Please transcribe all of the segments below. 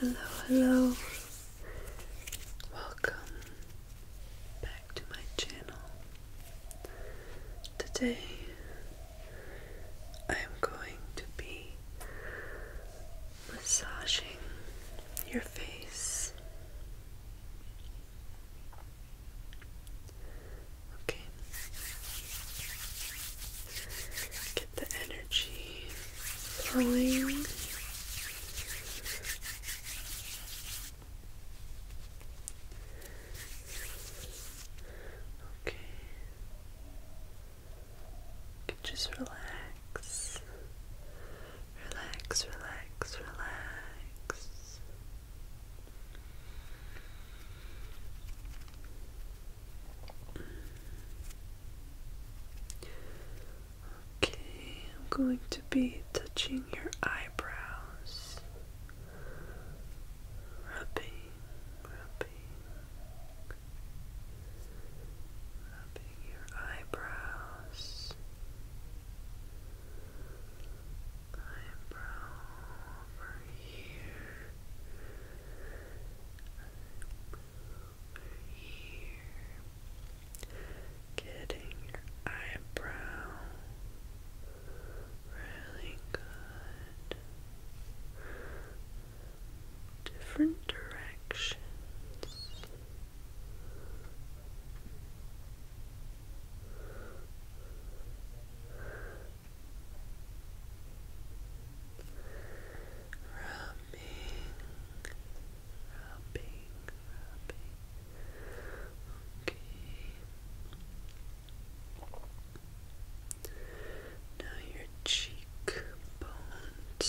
Hello, hello. Welcome back to my channel. Today I am going to be massaging your face. Okay. Get the energy flowing. Okay. just relax. Relax, relax, relax. Okay, I'm going to be touching your eyebrows, rubbing, rubbing, rubbing your eyebrows. Eyebrow over here. here. Getting your eyebrow really good. Different directions rubbing, rubbing. Okay. Now your cheekbones,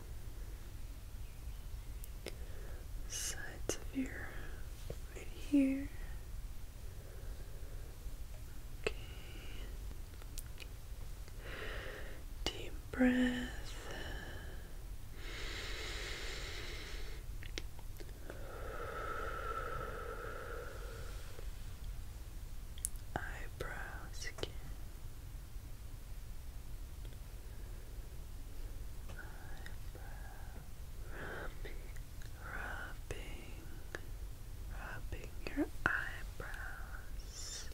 sides of your right here. Okay. Deep breath. Eyebrows rubbing, rubbing, rubbing your eyebrows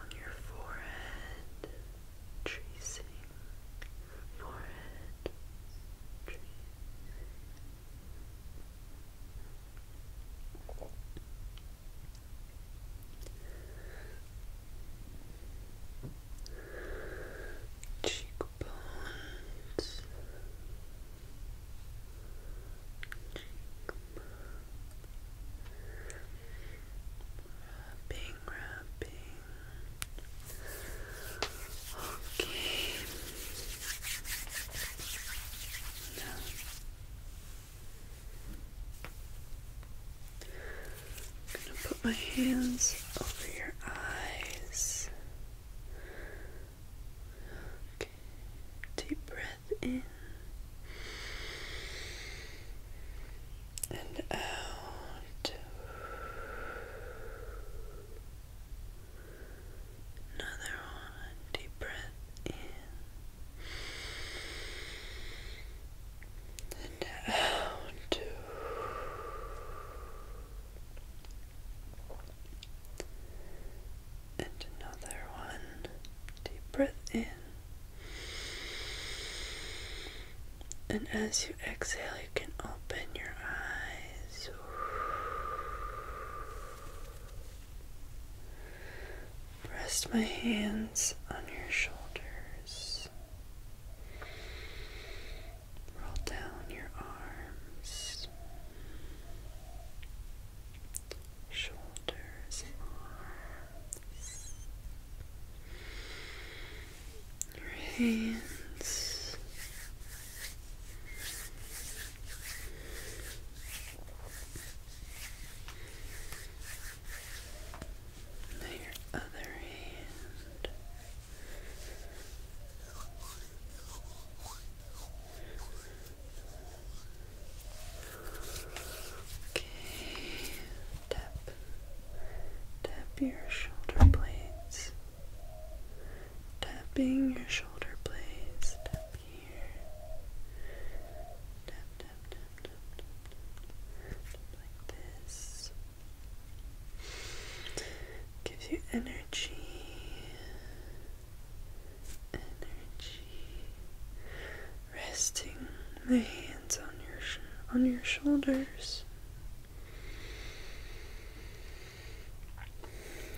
on your forehead, tracing forehead, tracing cheekbones, cheekbones, rubbing, Okay. Now. I'm going to put my hands over your eyes. Okay. Deep breath in and out. Another one. Deep breath in and out. And another one. Deep breath in. And as you exhale, you can open your eyes. Rest my hands on your shoulders. Roll down your arms, shoulders, arms, your hands your other hand. Okay, tap, tap your shoulder blades, tapping your shoulder blades, Gives you energy. Energy. Resting my hands on your on your shoulders.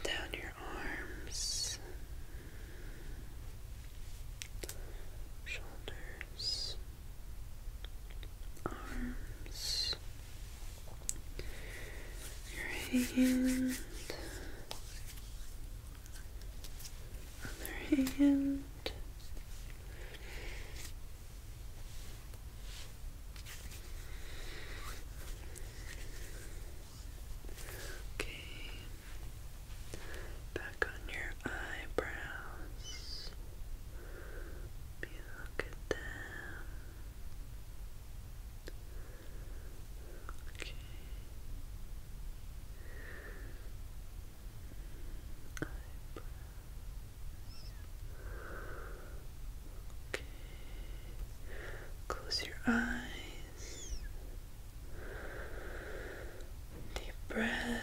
Down your arms, shoulders, arms, your hand, other hand. Okay. Back on your eyebrows. look at them. Okay. Okay. Close your eyes. Deep breath.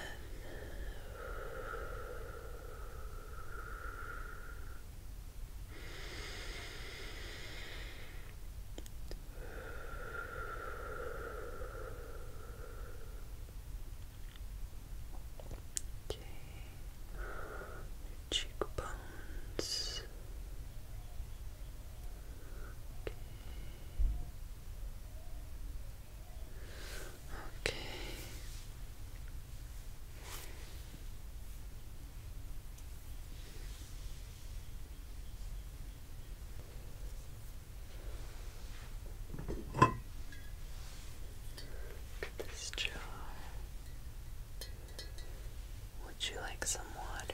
Okay. cheekbones. Okay. Okay. this jar. Would you like some water?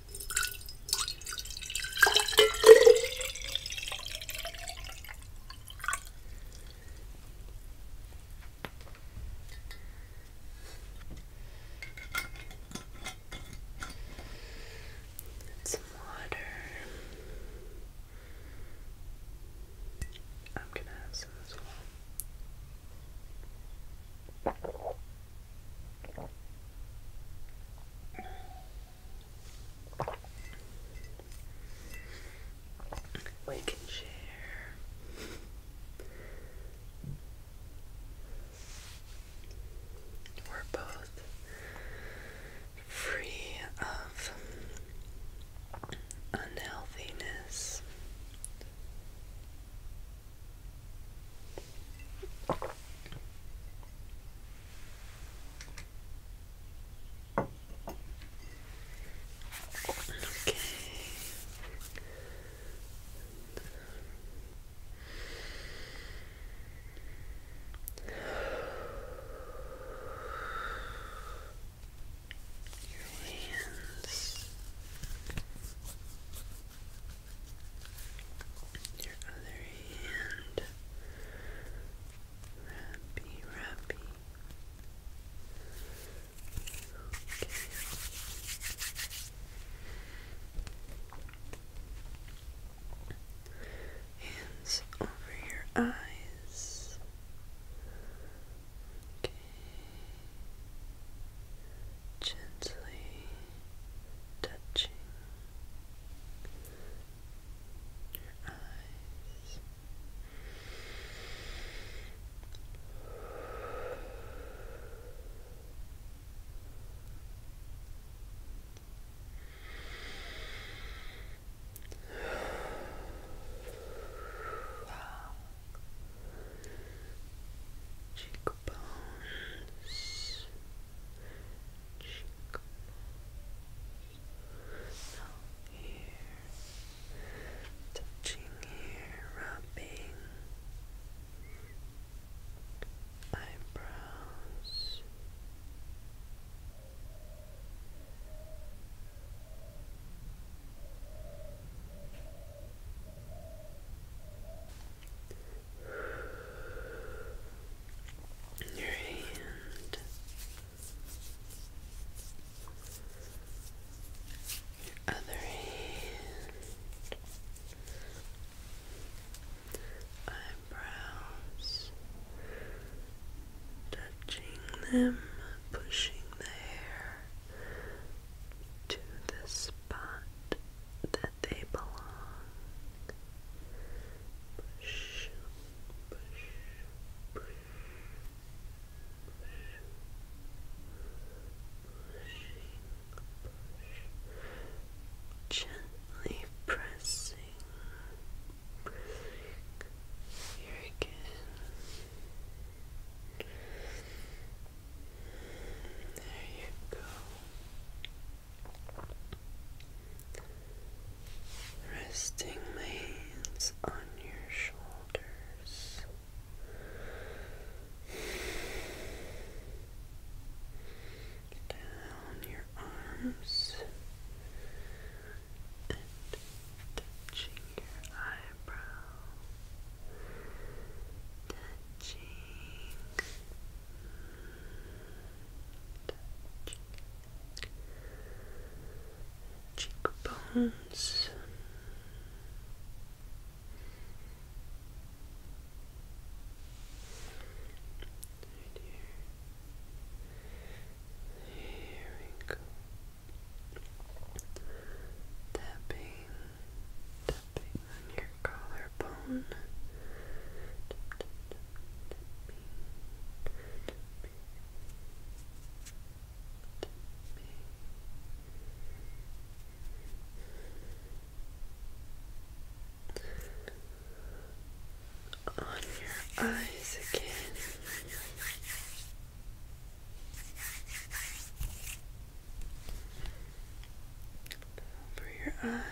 Some water. I'm gonna have some as well. We can share. We're both free of unhealthiness Okay. Your hands. Your other hand. Rappy, rappy. Hands over your eyes. Okay. Gently touching your eyes. Cheekbones, cheekbones. Now touching here, rubbing eyebrows your hand, your other hand, eyebrows, touching them, pushing the hair to the spot they belong. gently pressing, There you go. Resting my hands on your shoulders. Down your arms touching your eyebrow, cheekbones. here. we go. Tapping, tapping, on your collarbone. On your eyes again. Over your eyes.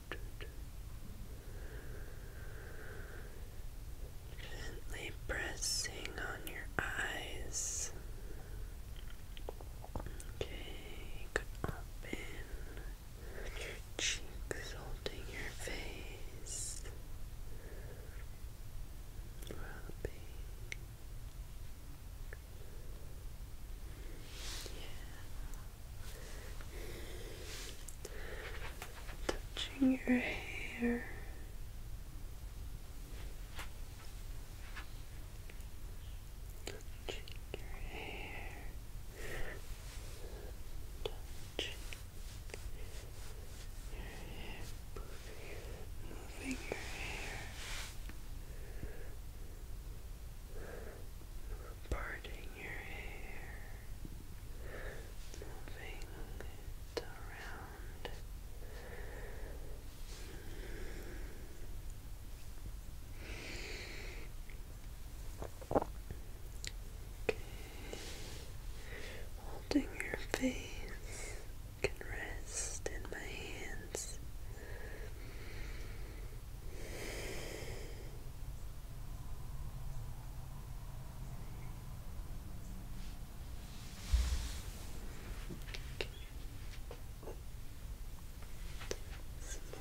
Gently pressing on your eyes. Okay, open your cheeks, holding your face, Yeah touching your hair. Touching your hair. Touching your hair. Moving your hair parting your hair, moving it around. Holding your face, can rest in my hands.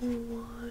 Some more water.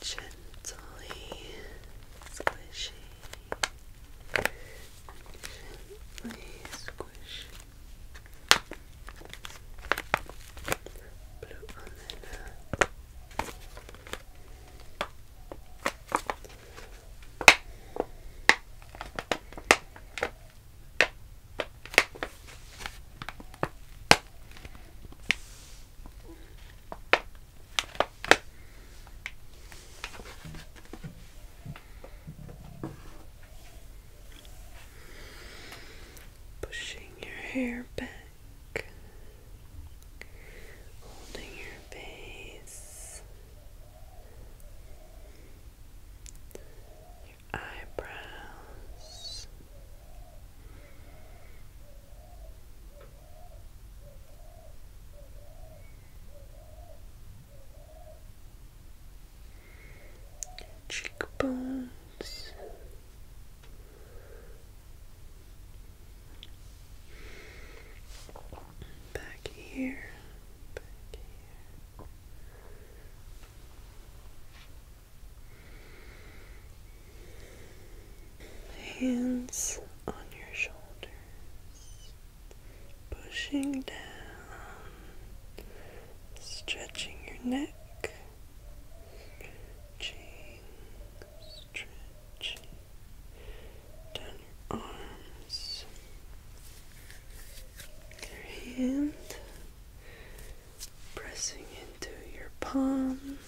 Gently squishy. Gently squish. Blue on the Pushing your hair back, holding your face, eyebrows. Cheekbones, back here, Hands on your shoulders, pushing down, stretching your neck, stretching, stretching down your arms, your hand, pressing into your palm.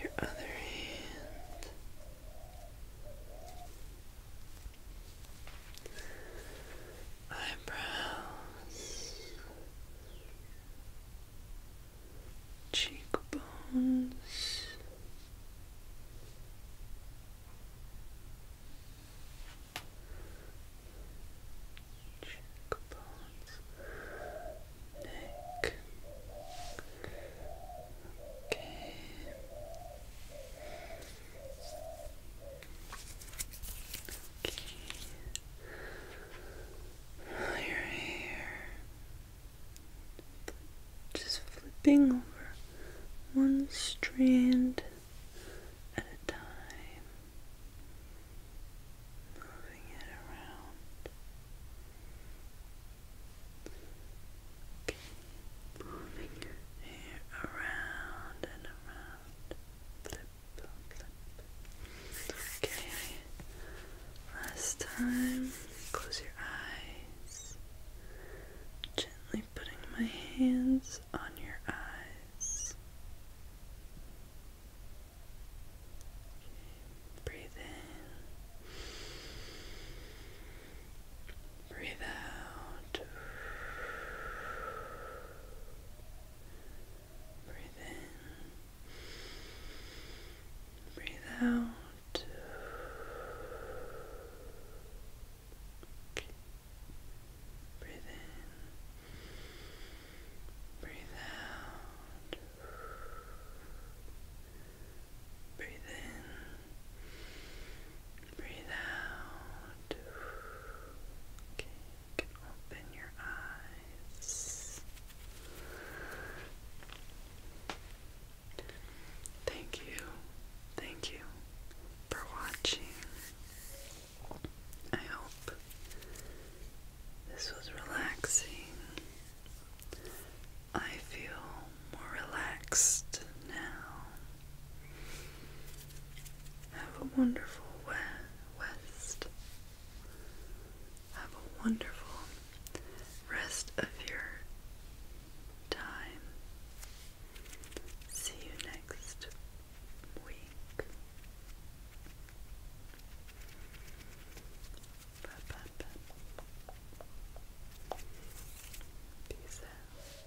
Your other hand, eyebrows, cheekbones, cheekbones, neck. Your hair just flipping over one strand at a time, moving it around. Moving your around and around. Flip, flip. Okay. Last time, close your eyes. Gently putting my hands on your eyes. breathe in. Breathe out. Breathe in. Breathe out. Breathe in. Breathe out. Breathe in. Breathe out. Okay, open your eyes. Thank you, thank you for watching. I hope this was relaxing. I feel more relaxed now. Have a wonderful we West. Have a wonderful rest of your time. See you next week. Bye bye bye. Peace out.